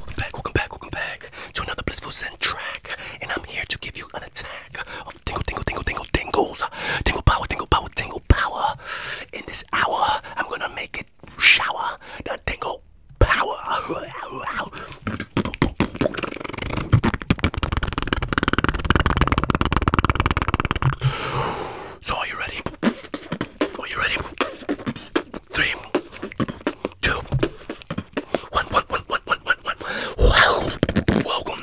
Welcome back, welcome back, welcome back to another Blissful Zen track. And I'm here to give you an attack of tingle, tingle, tingle, tingle, tingles. Tingle power, tingle power, tingle power. In this hour, I'm gonna make it shower the tingle power. So are you ready? Are you ready? Three, two, one, one, one, one, one, one, one. Well, welcome. Welcome.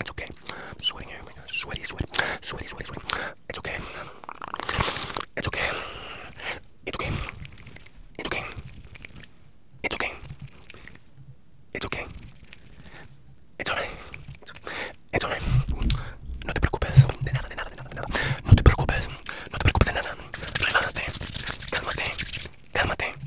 It's okay. I'm sweating here. Sweaty, sweaty, sweaty, sweaty, sweaty. It's okay. It's okay. It's okay. It's okay. It's okay. It's okay. It's alright. It's alright. No te preocupes. De nada, de nada, de nada, de nada. No te preocupes. No te preocupes de nada. Relájate. Cálmate. Cálmate.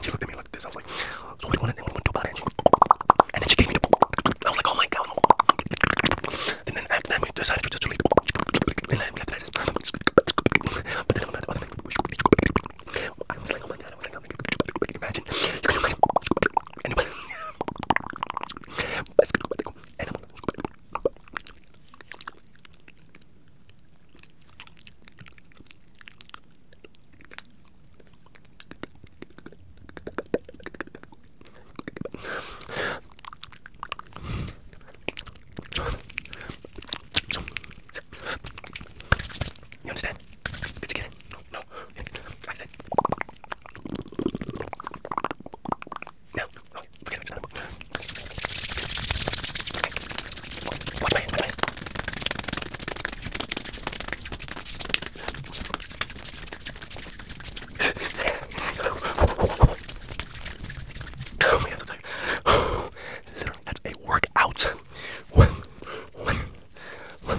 she looked at me like this. I was like, so what do you want to do about Angie? And then she gave me the book. I was like, oh my god. And then after that, we decided to just delete the book. And then after that, just... But then about the other thing. I was like, oh my god. I was like, oh my god. Imagine. You can imagine. Anyway. And I'm you understand? Did you get it? No, no. I said. No, okay, forget it. Literally, that's a workout. When, when, when.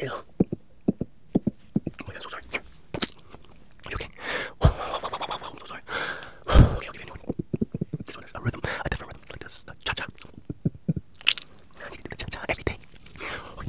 Ew. Oh my god, I'm so sorry. You okay? Whoa, whoa, whoa, whoa, whoa, whoa, I'm so sorry. Okay, I'll give you a new one. This one is a rhythm, a different rhythm, like this, the cha-cha. You can do the cha-cha every day. Okay.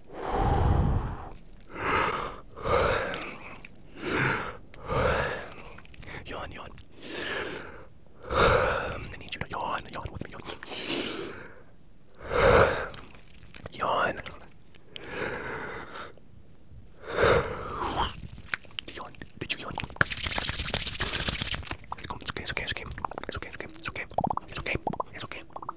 Yawn, yawn. I need you to yawn, yawn with me, yawn. Yawn. Yawn. Did you yawn? It's okay, it's okay, it's okay. It's okay, it's okay, it's okay. It's okay, it's okay. It's okay.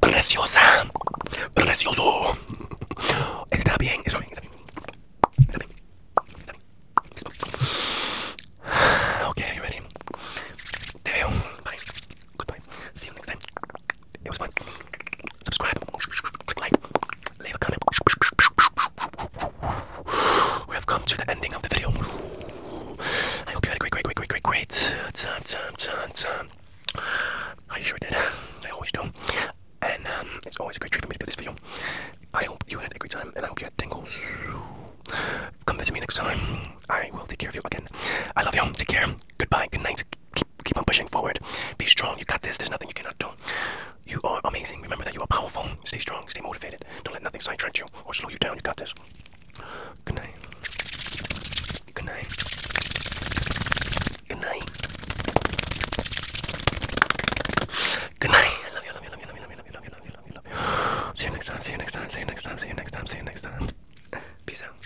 preciosa, precioso. Está bien, está bien. Está bien. Está bien. Okay, you ready? Te Bye. Goodbye. See you next time. It was fun. Subscribe. Click like. Leave a comment. We have come to the ending of the video. I hope you had a great, great, great, great, great, great uh, time, time, time, time. I sure did. I always do. And um, it's always a great treat for me to do this video. I hope you had a great time, and I hope you had tingles. Come visit me next time. I will take care of you again. I love you. all. Take care. Goodbye. Good night. Keep, keep on pushing forward. Be strong. You got this. There's nothing you cannot do. You are amazing. Remember that you are powerful. Stay strong. Stay motivated. Don't let nothing sidetrack you or slow you down. You got this. Good night. Good night. Good night. Good night. I love you, love you, love you, love you, love you, love you, love you, love you, love you, love you. See you next time, see you next time, see you next time, see you next time, see you next time. Peace out.